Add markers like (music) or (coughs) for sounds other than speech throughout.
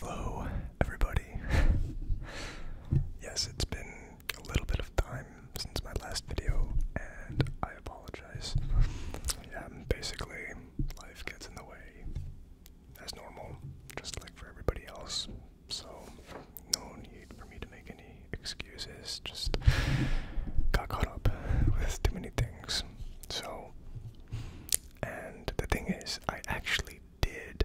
Hello, everybody. yes, it's been a little bit of time since my last video, and I apologize. yeah, basically, life gets in the way as normal, just like for everybody else. So, no need for me to make any excuses. Just got caught up with too many things. So, and the thing is, I actually did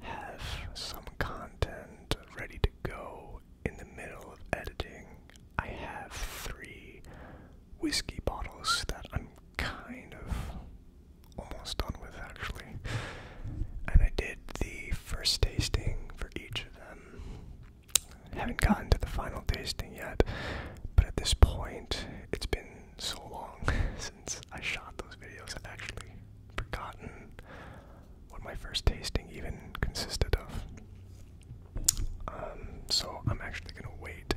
have some content ready to go in the middle of editing. I have three whiskey bottles that I'm kind of almost done with actually. And I did the first tasting for each of them haven't gotten to the final tasting yet, but at this point, it's been so long (laughs) since I shot those videos, I've actually forgotten what my first tasting even consisted of. Um, so I'm actually gonna wait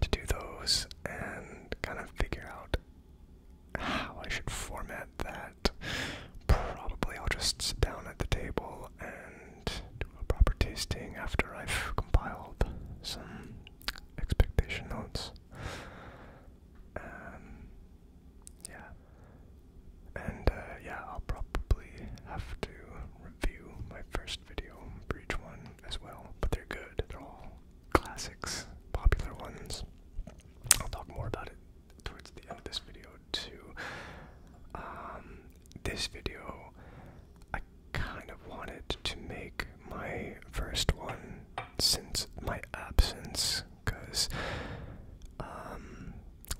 to do those and kind of figure out how I should format that. Probably I'll just sit down at the table and do a proper tasting after I've compiled some expectation notes. Um, yeah. And uh, yeah, I'll probably have to review my first video for one as well, but they're good. They're all classics, popular ones. I'll talk more about it towards the end of this video too. Um, this video, I kind of wanted to make my first one since my absence, because, um,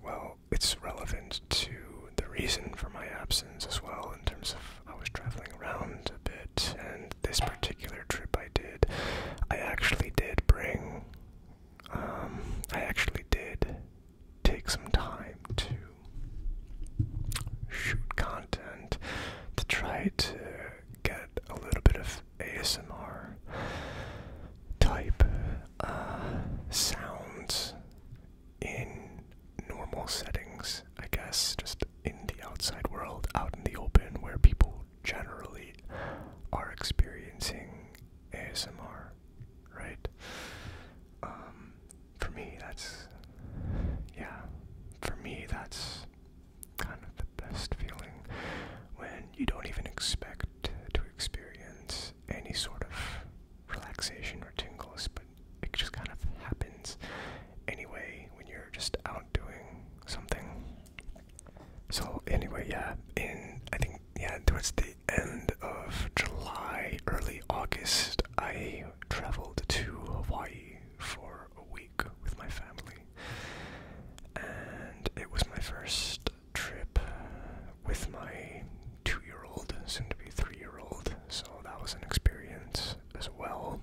well, it's relevant to the reason for my absence as well, in terms of I was traveling around a bit, and this particular trip I did, I actually did bring, um, I actually did take some time to shoot content to try to get a little bit of ASMR type uh, sounds in normal settings, I guess, just in the outside world, out in the open, where people generally are experiencing ASMR, right? Um, for me, that's, yeah, for me, that's kind of the best feeling when you don't even expect to experience any sort of relaxation or tingles, but it just kind of happens anyway when you're just out doing something. So, anyway, yeah, in, I think, yeah, towards the end of July, early August, I traveled to Hawaii for a week with my family. And it was my first trip with my two year old, soon to be three year old, so that was an experience as well.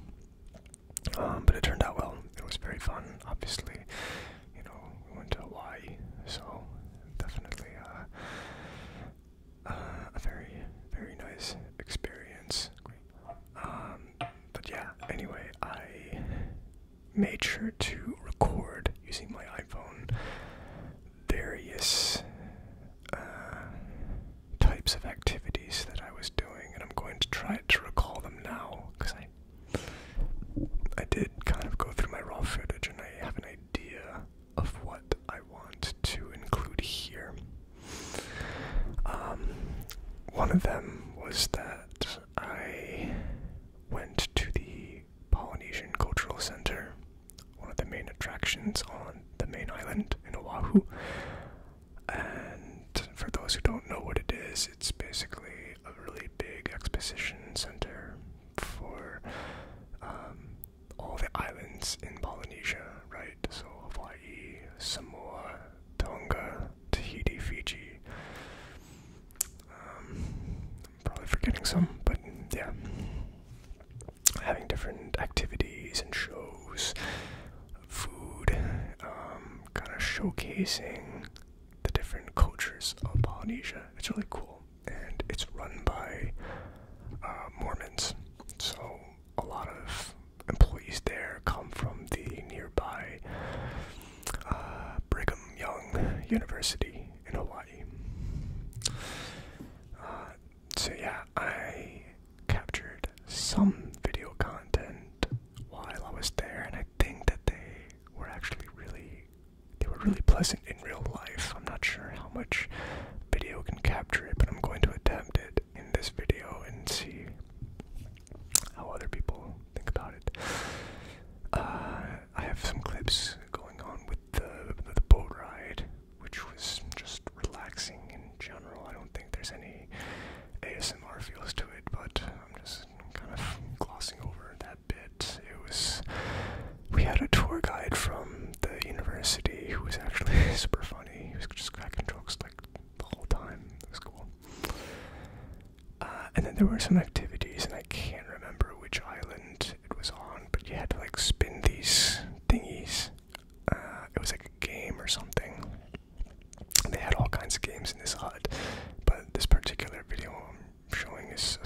Um, but it turned out well. It was very fun, obviously. You know, we went to Hawaii, so definitely uh, uh, a very, very nice experience. Um, but yeah, anyway, I made sure to record using my iPhone various uh, types of activities that I was doing, and I'm going to try to recall them now because I I did kind of go through my raw footage and I have an idea of what I want to include here. Um, one of them was that I went to the Polynesian Cultural Center, one of the main attractions on the main island in Oahu. And for those who don't know what it is, it's basically a really big exposition center for um, all the islands in Polynesia, right? So Hawaii, Samoa, Tonga, Tahiti, Fiji. Um, I'm probably forgetting some, but yeah. Having different activities and shows, food, um, kind of showcasing the different cultures of Polynesia. It's really cool and it's run by uh, Mormons. So a lot of employees there come from the nearby uh, Brigham Young University in Hawaii. Uh, so yeah, I captured some video content while I was there, and I think that they were actually really, they were really pleasant in real life. I'm not sure how much video can capture it, but I'm going to attempt it in this video and see how other people think about it. Uh, I have some clips going on with the, the boat ride, which was just relaxing in general. I don't think there's any ASMR feels to it, but I'm just kind of glossing over that bit. It was we had a tour guide from the university who was actually (laughs) super funny. He was just cracking jokes like the whole time. It was cool. Uh, and then there were some activities, and I can't remember which island it was on, but you had to like spin these thingies. Uh, it was like a game or something. They had all kinds of games in this hut, but this particular video I'm showing is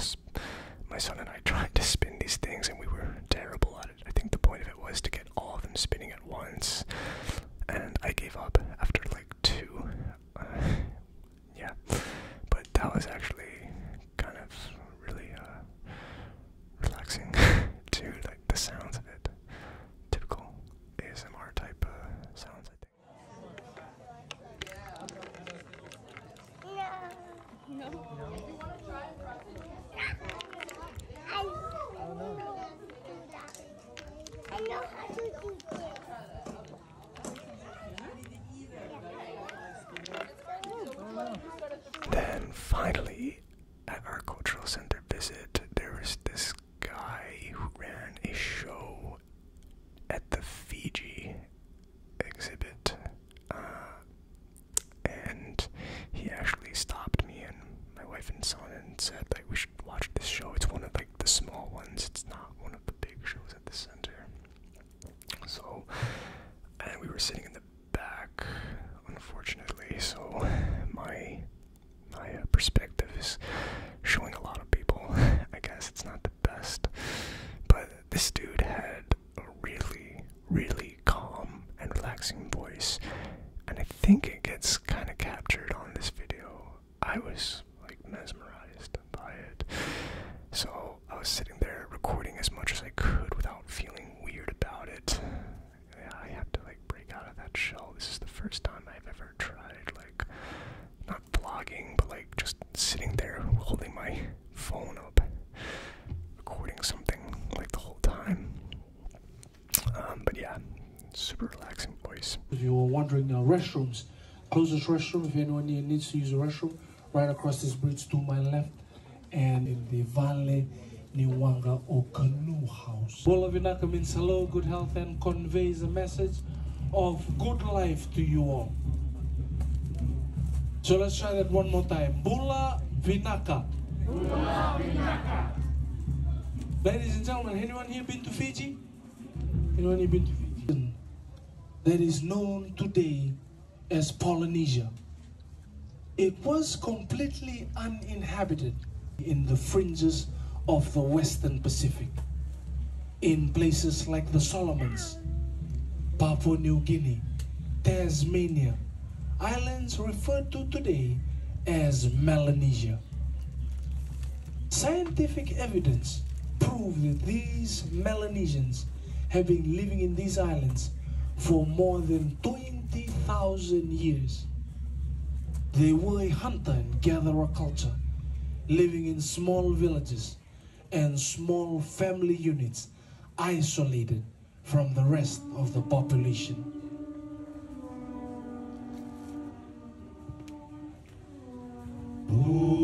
my son and I (laughs) trying to spin these things, and we were terrible at it. I think the point of it was to get all of them spinning at once, and I gave up after like two. Uh, yeah, but that was actually kind of really uh, relaxing (laughs) to like the sounds of it. Typical ASMR type uh, sounds, I think. Yeah. No. no. If Then finally, at our cultural center visit, there was this guy who ran a show at the Fiji exhibit. Uh, and he actually stopped me and my wife and son and said like we should watch this show. It's one of like the small ones. It's not one of the big shows at the center. So, and we were sitting in the back, unfortunately. So my my uh, perspective is showing a lot of people. (laughs) I guess it's not the best, but this dude had a really, really calm and relaxing voice, and I think it gets kind of captured on this video. I was like mesmerized by it. So I was sitting there recording as much as I could without feeling weird about it. Yeah, I have to like break out of that shell. This is the first time I've ever tried like not vlogging, but like just sitting there holding my phone up recording something like the whole time. Um, but yeah, super relaxing voice. If you were wondering, uh, restrooms. Closest restroom, if anyone needs to use a restroom, right across this bridge to my left, and in the valley, Niwanga Okanu House. All of you now means hello, good health, and conveys a message of good life to you all. So let's try that one more time. Bula Vinaka. Ladies and gentlemen, anyone here been to Fiji? Anyone here been to Fiji? That is known today as Polynesia. It was completely uninhabited in the fringes of the Western Pacific, in places like the Solomons, Papua New Guinea, Tasmania, islands referred to today as Melanesia. Scientific evidence proves that these Melanesians have been living in these islands for more than 20,000 years. They were a hunter and gatherer culture, living in small villages and small family units, isolated from the rest of the population. Thank you.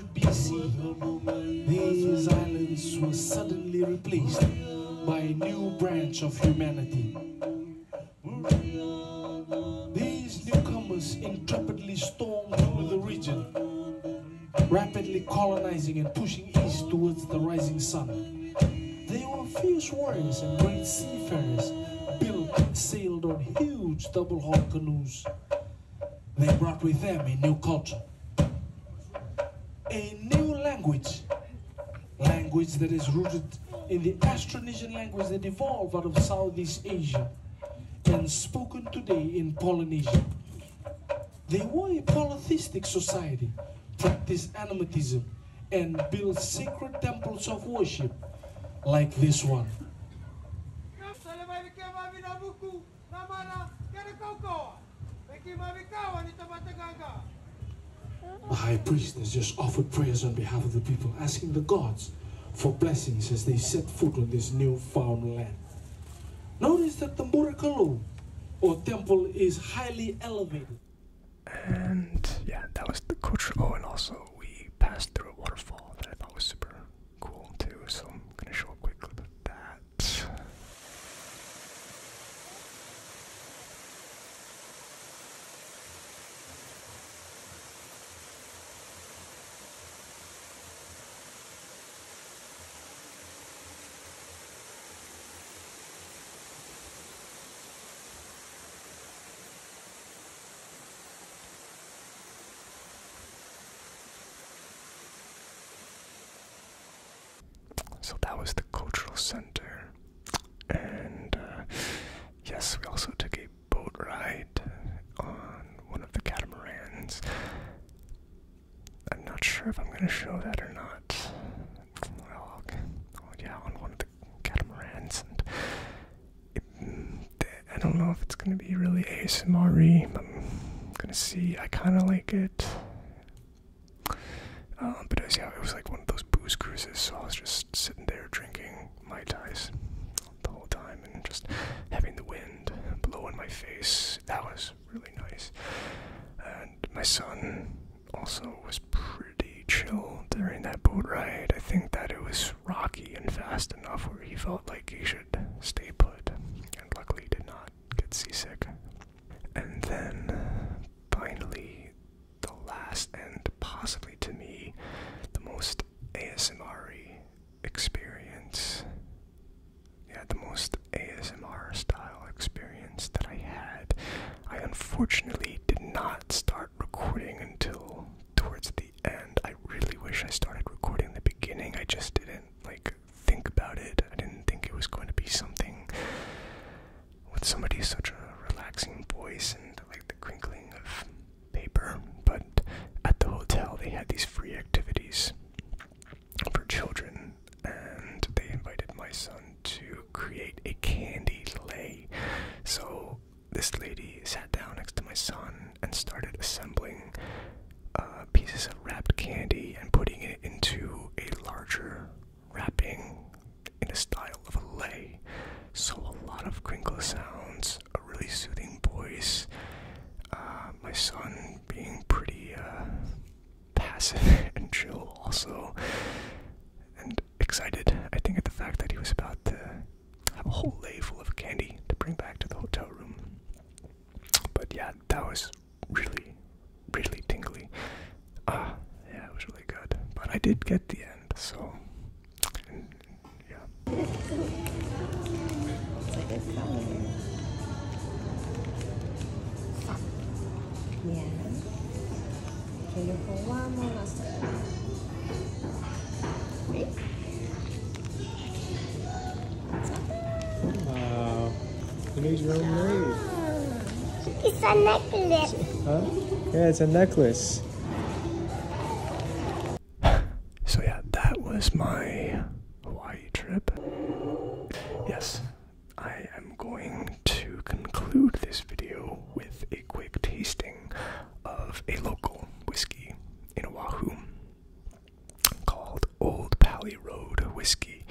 BC, these islands were suddenly replaced by a new branch of humanity. These newcomers intrepidly stormed through the region, rapidly colonizing and pushing east towards the rising sun. They were fierce warriors and great seafarers, built and sailed on huge double-hulled canoes they brought with them a new culture, a new language, language that is rooted in the Austronesian language that evolved out of Southeast Asia and spoken today in Polynesia. They were a polytheistic society, practiced animatism, and built sacred temples of worship like this one. The high priest has just offered prayers on behalf of the people, asking the gods for blessings as they set foot on this newfound land. Notice that the Murakalo, or temple, is highly elevated. And yeah, that was the culture. Oh, and also we passed through a waterfall that I thought was super cool too, so I'm gonna show a quick clip of that. So that was the cultural center, and uh, yes, we also took a boat ride on one of the catamarans. I'm not sure if I'm going to show that or not. Well, yeah, on one of the catamarans, and I don't know if it's gonna be really asmr but i I'm gonna see. I kind of like it. Um, but yeah, it was like one of those booze cruises, so I was just sitting there drinking my ties the whole time and just having the wind blow in my face. That was really nice. And my son also was pretty chill during that boat ride. I think that it was rocky and fast enough where he felt like he should stay put, and luckily did not get seasick. And then, finally, the last and possibly to me the most ASMR experience. Yeah, the most ASMR style experience that I had. I unfortunately did not start recording until towards the end. I really wish I started recording the beginning. I just didn't like think about it. I didn't think it was going to be something with somebody such a relaxing voice and like the crinkling of paper. But at the hotel, they had these free activities for children, and they invited my son to create a candy lay. So this lady sat down next to my son and started assembling uh, pieces of wrapped candy and putting it into a larger wrapping in a style of a lay. So a lot of crinkle sounds, a really soothing voice. Uh, my son being pretty uh, passive (laughs) and chill, also, and excited. I think at the fact that he was about to have a whole lay full of candy to bring back to the hotel room. But yeah, that was really, really tingly. Ah, yeah, it was really good. But I did get the end, so yeah. Wow. You your name. It's a necklace. Huh? Yeah, it's a necklace. So yeah, that was my Hawaii trip. Yes, I am going to conclude this video with a quick tasting of a local whiskey in Oahu called Old Pali Road Whiskey,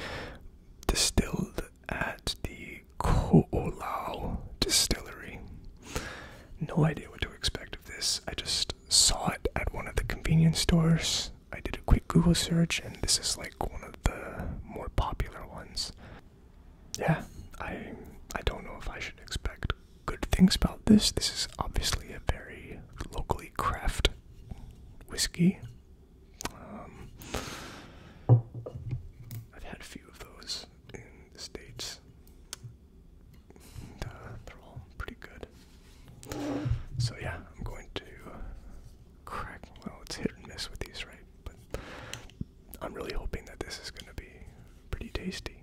distilled at the Ko'olau Distillery. No idea what to expect of this. I just saw it at one of the convenience stores. I did a quick Google search, and this is like one of the more popular ones. Yeah, I I don't know if I should expect good things about this. This is obviously a very locally craft whiskey. Um, I've had a few of those in the States. Uh, they're all pretty good. So, yeah, I'm going to crack. Well, it's hit and miss with these, right? But I'm really hoping that this is going to be pretty tasty.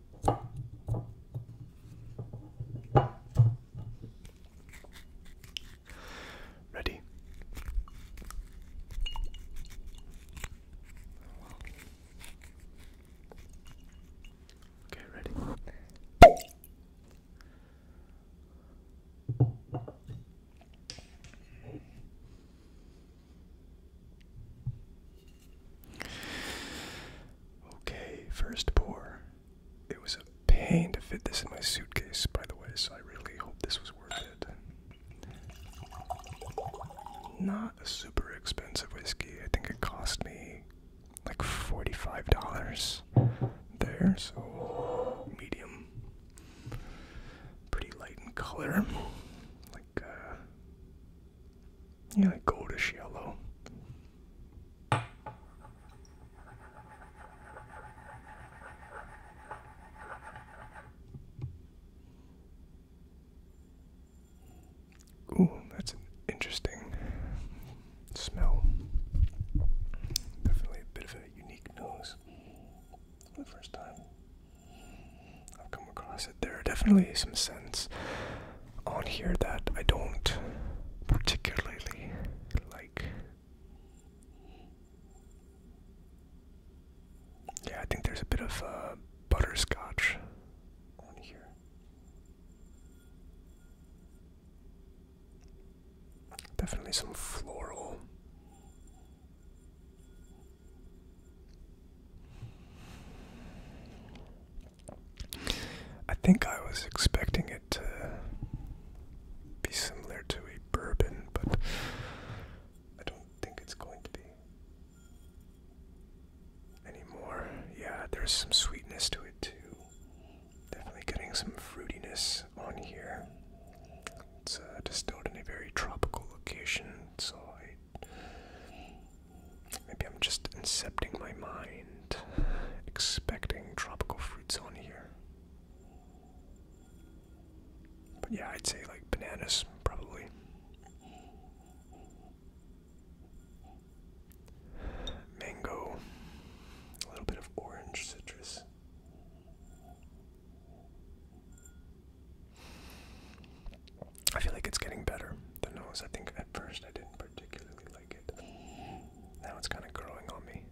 Ready? Okay, ready. Okay, first pour. It was a pain to fit this in my suitcase, by the way, so I really hope this was worth it. Not a super expensive whiskey. I think it cost me like $45 there, so medium. Pretty light in color. Like, uh, yeah, goldish yellow. Ooh, that's an interesting smell. Definitely a bit of a unique nose the first time I've come across it. There are definitely some scents on here that I don't particularly like. Yeah, I think there's a bit of uh, butterscotch on here. Definitely some floral. I think I was expecting it to be similar to a bourbon, but I don't think it's going to be anymore. Yeah, there's some sweetness to it too. Definitely getting some fruitiness on here. It's uh, distilled in a very tropical location, so Maybe I'm just incepting my mind, expecting tropical fruits on here. But yeah, I'd say like bananas, probably. Mango, a little bit of orange citrus. I feel like it's getting better. The nose, I think at first I didn't particularly now it's kind of growing on me.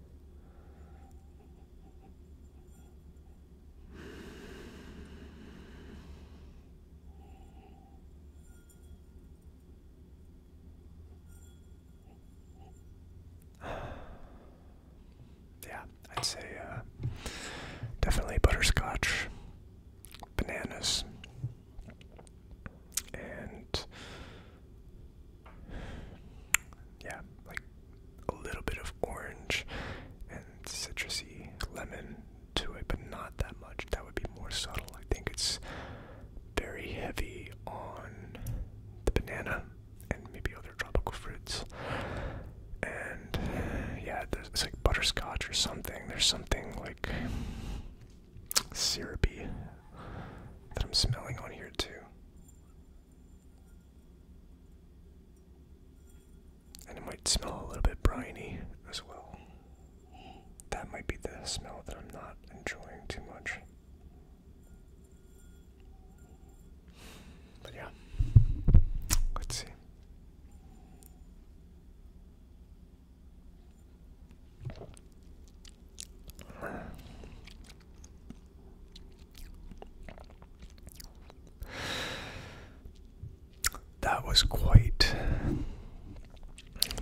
(sighs) yeah, I'd say uh, definitely butterscotch, bananas, and yeah, like a little bit of orange and citrusy lemon to it, but not that much. That would be more subtle. I think it's very heavy on the banana and maybe other tropical fruits. And yeah, there's, it's like butterscotch or something. There's something like syrupy that I'm smelling on here too. And it might smell a little bit briny as well. That might be the smell that I'm not enjoying too much. But yeah, let's see. That was quite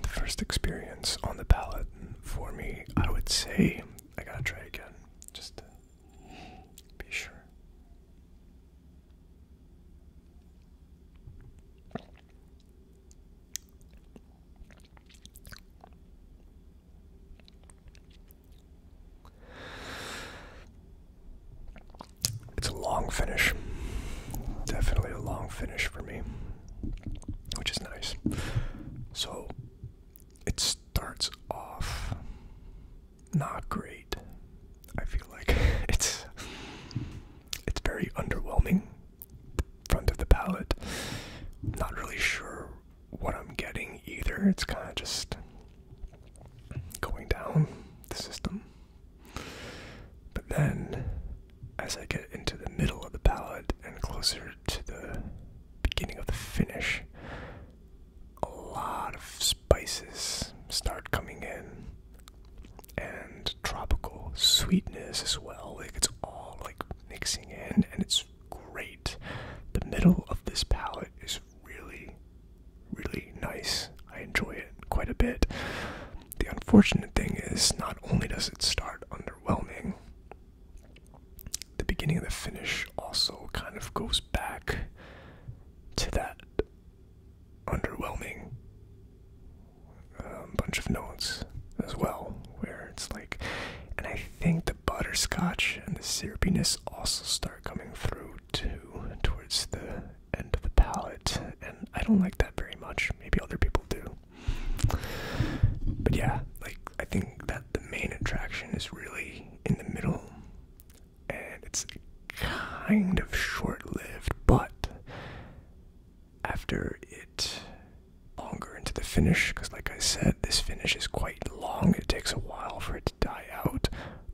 the first experience on the palate for me. I would say I gotta try again just to be sure. It's a long finish. Definitely a long finish for me, which is nice. So it starts off not great. I feel like (laughs) it's it's very underwhelming front of the palette. Not really sure what I'm getting either. It's kind of just going down the system. But then, as I get into the middle of the palette and closer to the beginning of the finish, a lot of spices start coming in and tropical sweetness as well. Like it's all like mixing in, and it's great. The middle of this palette is really, really nice. I enjoy it quite a bit. The unfortunate thing is, not only does it start underwhelming, the beginning of the finish also kind of goes back to that underwhelming a bunch of notes as well, where it's like, and I think the butterscotch and the syrupiness also start coming through too towards the end of the palate, and I don't like that very much. Maybe other people do, but yeah, like I think that the main attraction is really in the middle, and it's kind of short lived, but after it longer into the finish because like i said this finish is quite long it takes a while for it to die out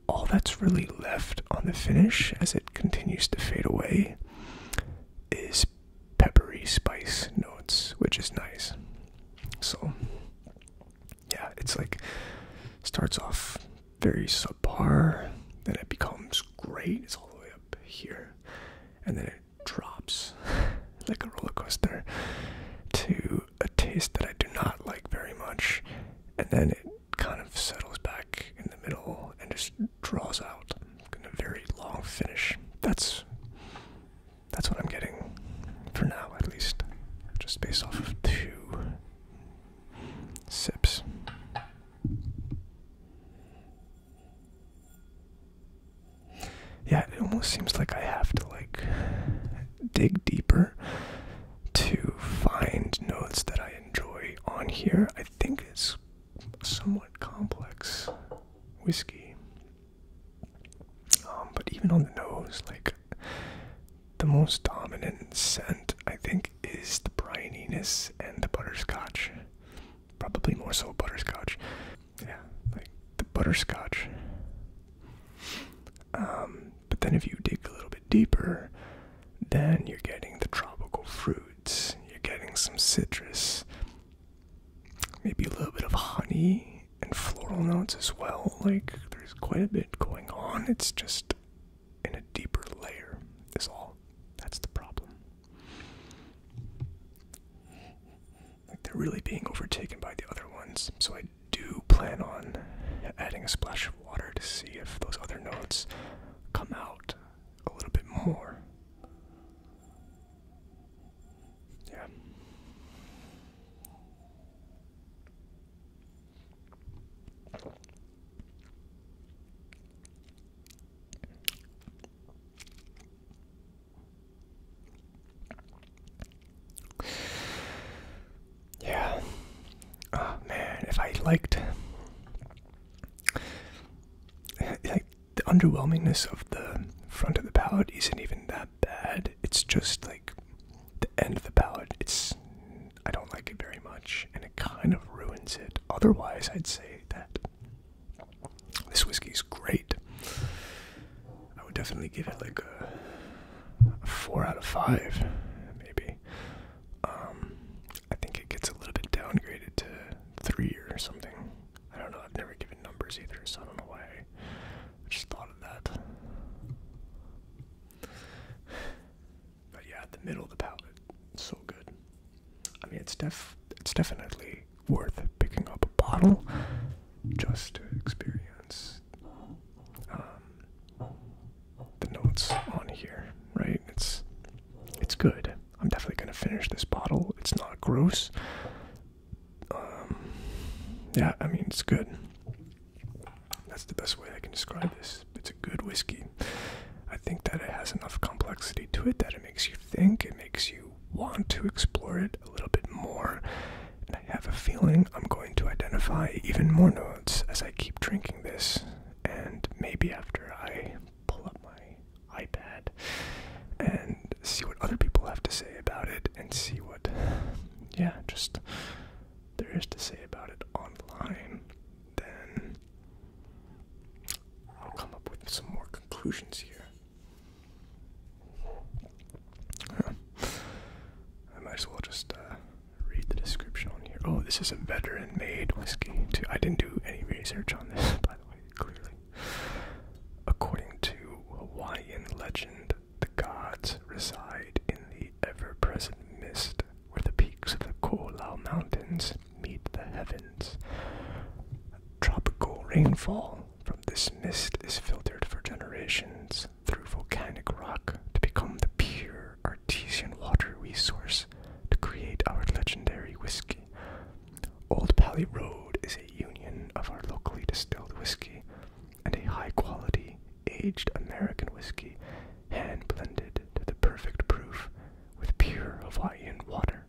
all that's really left on the finish as it continues to fade away is peppery spice notes which is nice so yeah it's like starts off very subpar then it becomes great it's all the way up here and then it drops (laughs) like a roller coaster to a taste that I do not like very much, and then it kind of settles back in the middle and just draws out in a very long finish. That's that's what I'm getting for now, at least, just based off of two sips. Yeah, it almost seems like I have to like dig deeper to find notes that I enjoy on here. I think it's somewhat complex whiskey. Um, but even on the nose, like the most dominant scent I think is the brininess and the butterscotch probably more so butterscotch. Yeah, like the butterscotch. Um, but then if you dig a little bit deeper, then you're getting the tropical fruits, you're getting some citrus, maybe a little bit of honey and floral notes as well. Like there's quite a bit going on. It's just in a deeper layer is all. That's the problem they're really being overtaken by the other ones. So I do plan on adding a splash of water to see if those other notes come out a little bit more. Yeah. Yeah. Ah, man, if I liked (laughs) like the underwhelmingness of the front of the palette isn't even that bad. It's just like the end of the palette. It's I don't like it very much and it kind of ruins it. Otherwise, I'd say that this whiskey is great. I would definitely give it like a, four out of five, maybe. Um, I think it gets a little bit downgraded to three or something. I don't know. I've never given numbers either, so I don't know why. I just thought of that. But yeah, the middle of the palate, so good. I mean, it's def it's definitely worth picking up a bottle just to experience um, the notes on here, right? It's it's good. I'm definitely gonna finish this bottle. It's not gross. Um, yeah, I mean it's good. That's the best way I can describe this. It's a good whiskey. I think that it has enough complexity to it that it makes you think. It makes you want to explore it a little bit more. And I have a feeling I'm going to identify even more notes as I keep drinking this. And maybe after I pull up my iPad and see what other people have to say about it and see what, yeah, just there is to say about it online, then I'll come up with some more conclusions here. I might as well just uh, read the description on here. Oh, this is a veteran made whiskey, I didn't do any research on this, (laughs) by the way, clearly. According to Hawaiian legend, the gods reside in the ever present mist where the peaks of the Ko'olau Mountains meet the heavens. Tropical rainfall from this mist is filtered for generations through volcanic rock to become the pure artesian water resource to create our legendary whiskey. Old Pally Road is a union of our locally distilled whiskey and a high quality aged American whiskey hand blended to the perfect proof with pure Hawaiian water.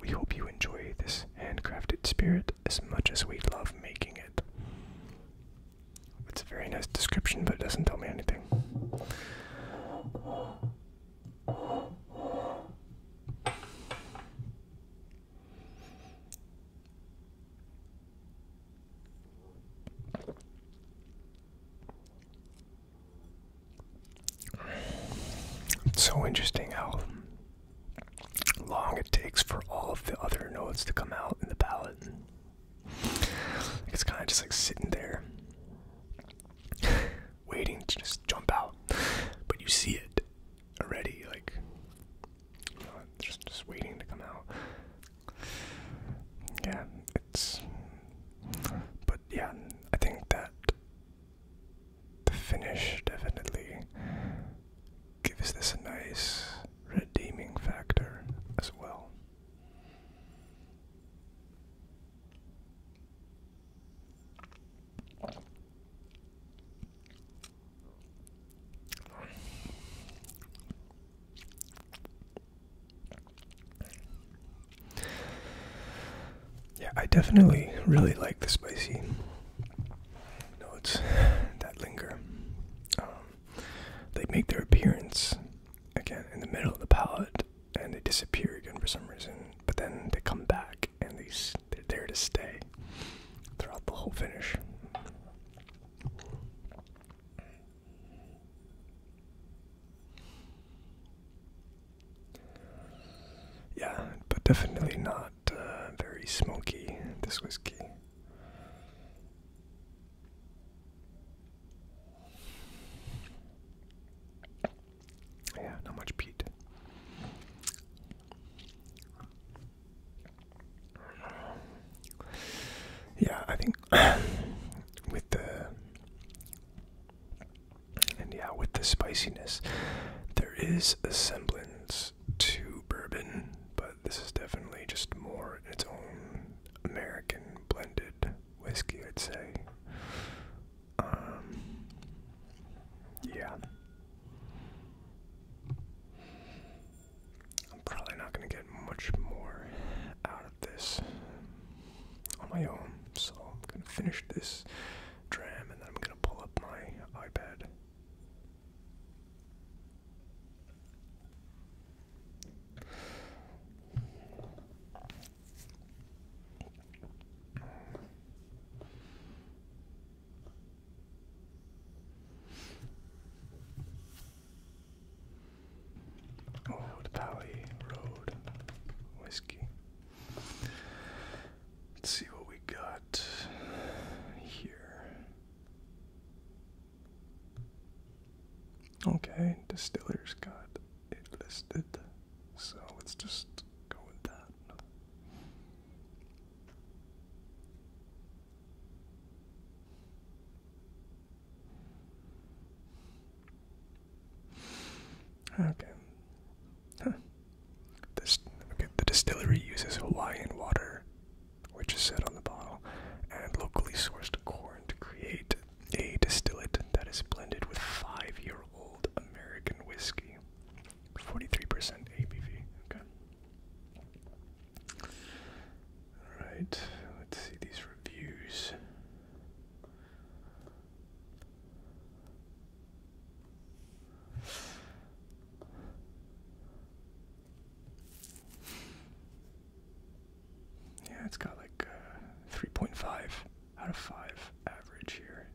We hope you enjoy this handcrafted spirit as much as we love making it. It's a very nice description, but it doesn't tell me anything. It's so interesting how long it takes for all of the other notes to come out in the palette. It's kind of just like sitting there, waiting to just jump out. But you see it already, like just just waiting to come out. Yeah, it's. But yeah, I think that the finish definitely gives this a nice redeeming factor as well yeah, I definitely really like the spicy notes that linger. Um, they make their appearance again in the middle of the palate, and they disappear again for some reason. But then they come back, and they they're there to stay throughout the whole finish. Yeah, but definitely not uh, very smoky, this whiskey. Yeah, not much peat. Yeah, I think (coughs) with the and yeah, with the spiciness, there is a semblance close to bourbon, but this is definitely just more its own American blended whiskey, I'd say. Um, yeah. I'm probably not going to get much more out of this on my own, so I'm going to finish this dram and then I'm going to pull up my iPad Old Valley Road Whiskey. Let's see what we got here. Okay, distillers got it listed. So let's just go with that. Okay. Huh the distillery uses Hawaiian water, which is said on the bottle, and locally sourced corn to create a distillate that is blended with five-year-old American whiskey, 43% ABV. Okay. All right. Let's see these reviews. Yeah, it's got like uh, 3.5 out of 5 average here.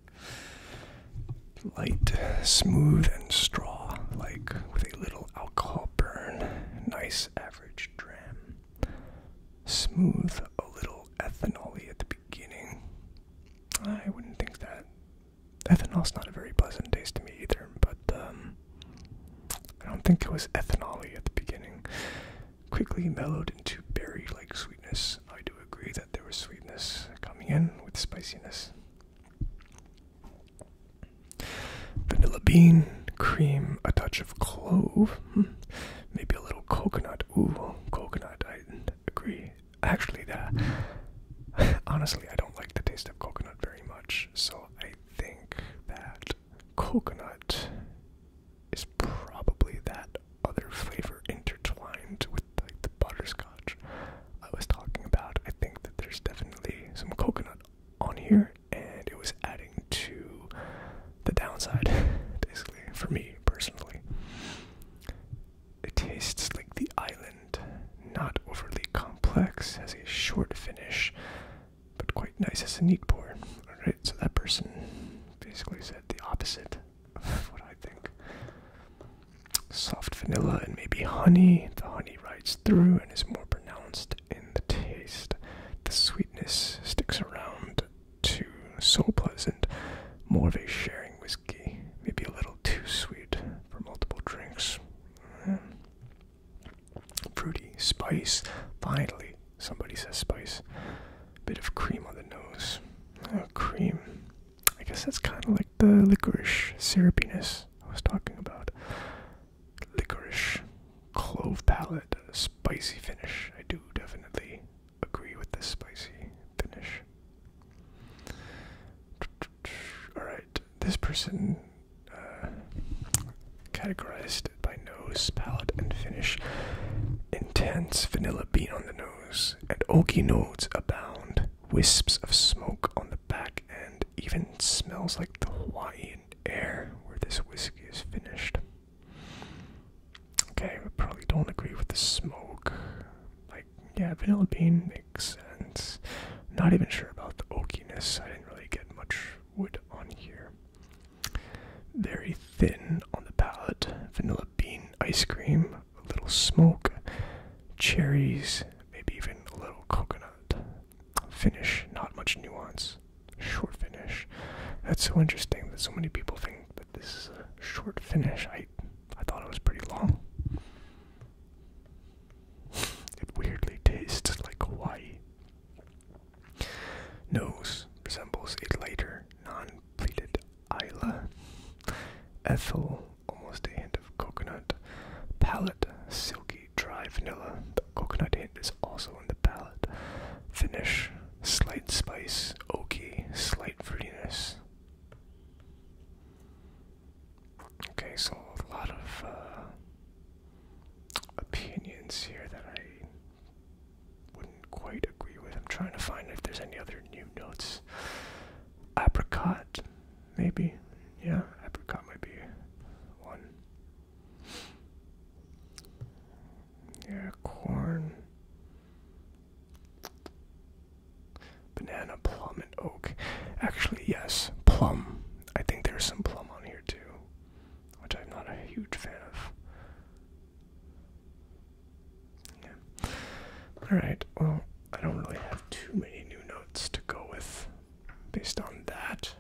Light, smooth, and straw, like with a little alcohol burn. Nice average dram. Smooth, a little ethanoly at the beginning. I wouldn't think that Ethanol's not a very pleasant taste to me either, but um, I don't think it was ethanoly at the beginning. Quickly mellowed into berry like sweetness. I do agree that there was sweetness coming in with spiciness. Vanilla bean, cream, a touch of clove, hmm, maybe a little coconut. Ooh, coconut, I agree. Actually, uh, (laughs) honestly, I don't like the taste of coconut very much, so I think that coconut is probably that other flavor intertwined with like the butterscotch I was talking about. I think that there's definitely some coconut on here, and it was adding to the downside, (laughs) basically, for me personally. It tastes like the island, not overly complex, has a short finish, but quite nice as a neat pour. Alright, so that person basically said the opposite of what I think. Soft vanilla and maybe honey. The honey rides through and is more pronounced in the taste. The sweetness sticks around to so pleasant. More of a sharing whiskey, maybe a little too sweet for multiple drinks. Fruity, spice. Finally, somebody says spice. Bit of cream on the nose. Oh, cream. I guess that's kind of like the licorice syrupiness I was talking about. Licorice, clove palate, spicy finish. I do definitely agree with this spicy finish. Alright, this person uh, categorized by nose, palate, and finish. Intense vanilla bean on the nose, and oaky notes abound. Wisps of smoke on the back end, even smells like the Hawaiian air where this whiskey is finished. Okay, we probably don't agree with the smoke. I yeah, vanilla bean makes sense. Not even sure about the oakiness. I didn't really get much wood on here. Very thin on the palate. Vanilla bean ice cream, a little smoke, cherries, maybe even a little coconut. Finish, not much nuance. Short finish. That's so interesting that so many people think that this is a short finish. I I thought it was pretty long. It weirdly tastes like Hawaii. Nose resembles a lighter, non pleated Isla. Ethyl, almost a hint of coconut. Palate, silky, dry vanilla. The coconut hint is also in the palate. Finish, slight spice, oaky, slight fruitiness. Okay, so a lot of uh, opinions here that I wouldn't quite agree with. I'm trying to find if there's any other new notes. Apricot, maybe? Yeah, apricot might be one. Yeah, corn. Banana, plum, and oak. Actually, yes, plum. I think there's some plum on here too, which I'm not a huge fan of. Alright, well, I don't really have too many new notes to go with based on that.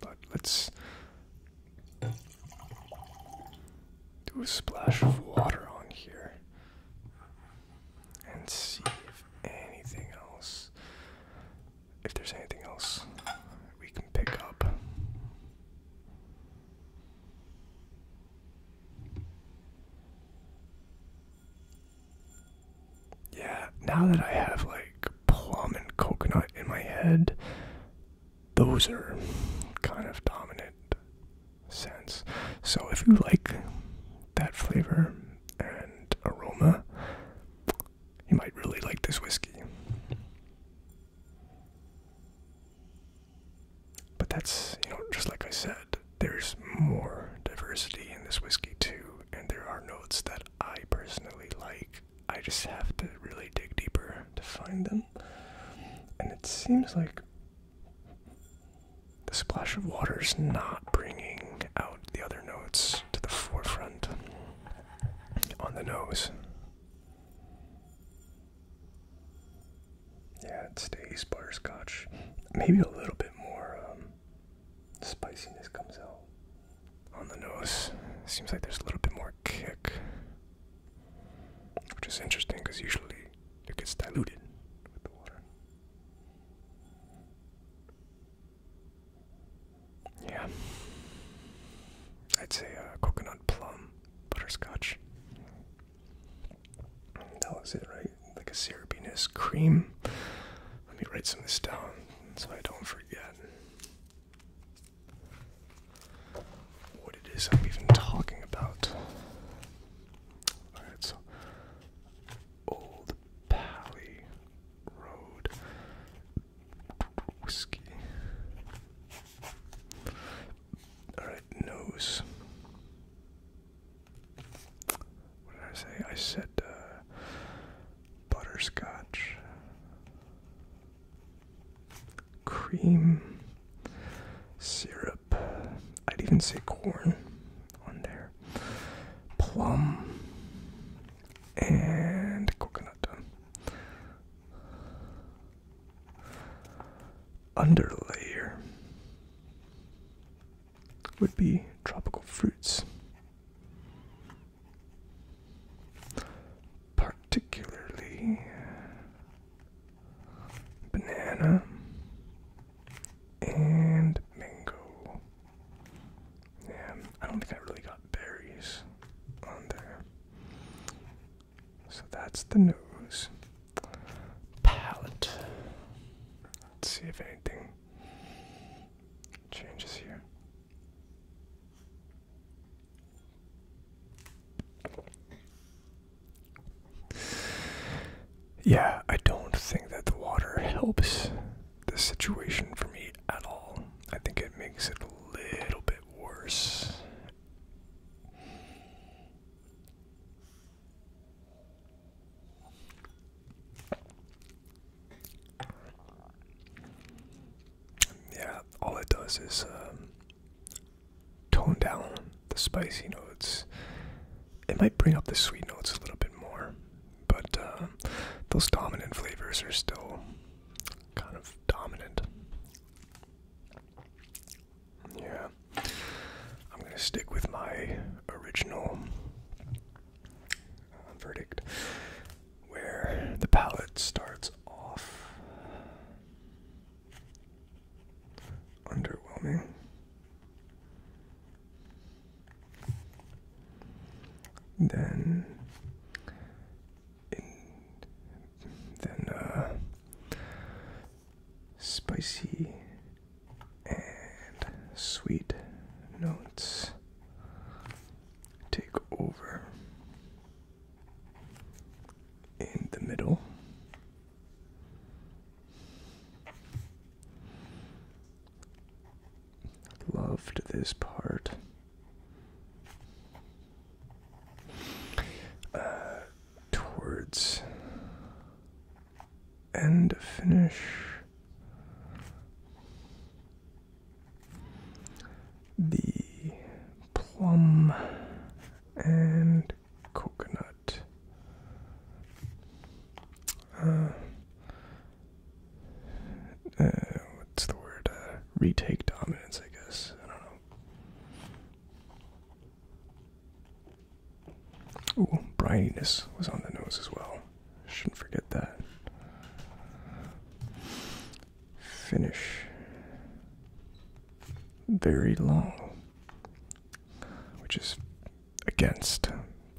But let's do a splash of water on here and see if anything else, if there's anything else we can pick up. Yeah, now that I have like plum and coconut in my head, those are kind of dominant sense. So if you like that flavor and aroma, you might really like this whiskey. But that's, you know, just like I said, there's more diversity in this whiskey too, and there are notes that I personally like. I just have to really dig deeper to find them. And it seems like the splash of water is not bringing out the other notes to the forefront on the nose. Yeah, it stays butterscotch. Maybe a little bit more um, spiciness comes out on the nose. Seems like there's a little bit more kick, which is interesting because usually it gets diluted with the water. Yeah. I'd say a uh, coconut plum butterscotch. That was it, right? Like a syrupiness cream. Let me write some of this down so I don't forget what it is I'm even talking about. Alright, so Old Pally Road Whiskey. Alright, nose. What did I say? I said uh, butterscotch, cream, syrup. I'd even say corn on there. Plum and coconut. Underlayer would be tropical fruits. Particularly banana, and mango. Yeah, I don't think I really got berries on there. So that's the nose. Palette. Let's see if anything changes here. Yeah, I don't think that the water helps the situation for me at all. I think it makes it a little bit worse. Yeah, all it does is um, tone down the spicy notes. It might bring up the sweet notes a little bit more, but uh, those dominant flavors are still kind of dominant. Yeah, I'm gonna stick with my original uh, verdict where the palate starts off underwhelming. Then, then uh, spicy and sweet notes take over in the middle. Loved this part. Uh, towards end finish. The plum and coconut. Uh, uh, what's the word? Uh, retake dominance, I guess. I don't know. Ooh, brininess was on the nose as well. Shouldn't forget that. Finish. Very long, which is against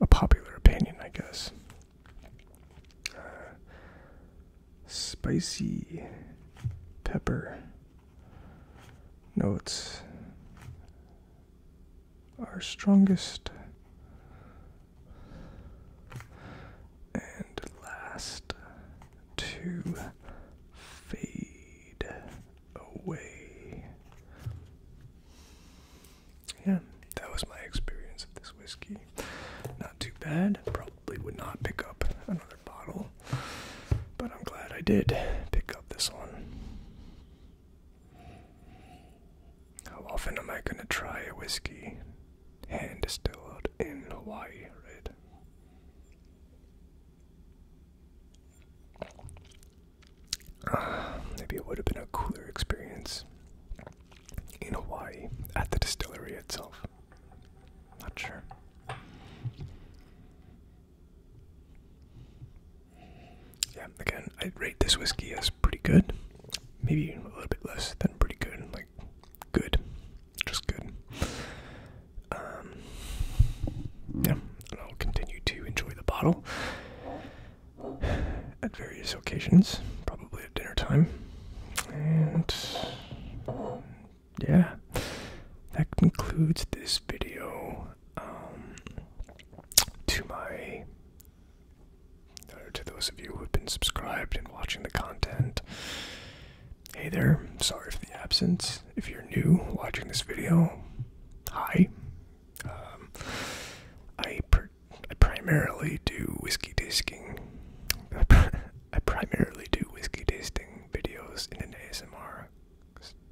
a popular opinion, I guess. Uh, spicy pepper notes are strongest and last to fade away. Yeah, that was my experience of this whiskey. Not too bad. Probably would not pick up another bottle, but I'm glad I did pick up this one. How often am I gonna try a whiskey hand distilled in Hawaii, right? (sighs) maybe it would have been a cooler experience in Hawaii at the distillery itself. Not sure. Yeah, again, i rate this whiskey as pretty good. Maybe a little bit less than pretty good. Like, good. Just good. Um, yeah and I'll continue to enjoy the bottle at various occasions, probably at dinner time. And yeah, that concludes this video. Um, to my uh, to those of you who have been subscribed and watching the content, hey there. Sorry for the absence. If you're new watching this video, hi. Um, I, primarily do whiskey tasting. (laughs) I, primarily do whiskey tasting videos in an ASMR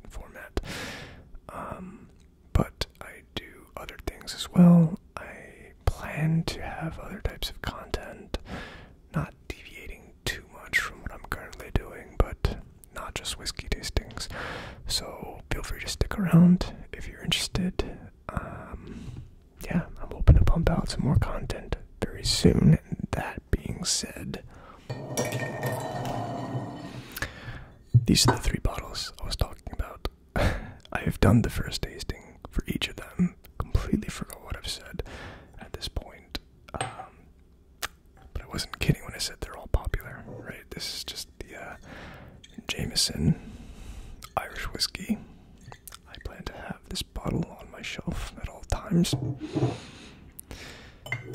format. Um, but I do other things as well. I plan to have other types of content, not deviating too much from what I'm currently doing, but not just whiskey tastings. So feel free to stick around if you're interested. Um, yeah, I'm hoping to pump out some more content very soon. that being said, these are the three bottles I was talking about. (laughs) I have done the first tasting for each of them. Completely forgot what I've said at this point. Um, but I wasn't kidding when I said they're all popular, right? This is just the uh, Jameson Irish whiskey. I plan to have this bottle on my shelf at all times.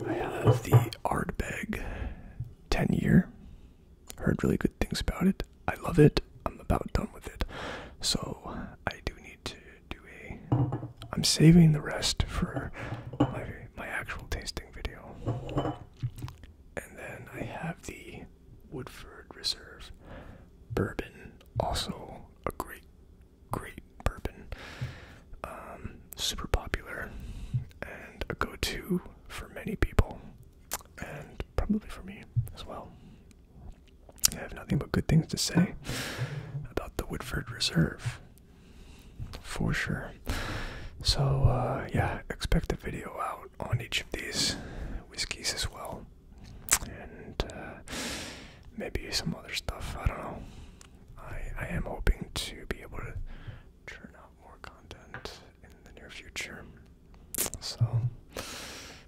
I have the Ardbeg 10 year. Heard really good things about it. I love it. I'm about done with it. So I do need to do a. I'm saving the rest for my, my actual tasting video. And then I have the Woodford Reserve bourbon, also a great, great bourbon. Um, super popular and a go to for many people, and probably for me as well. I have nothing but good things to say about the Woodford Reserve for sure. So, uh, yeah, expect a video out on each of these whiskeys as well, and uh, maybe some other stuff. I don't know. I I am hoping to be able to churn out more content in the near future. So,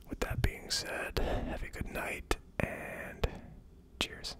with that being said, have a good night and cheers.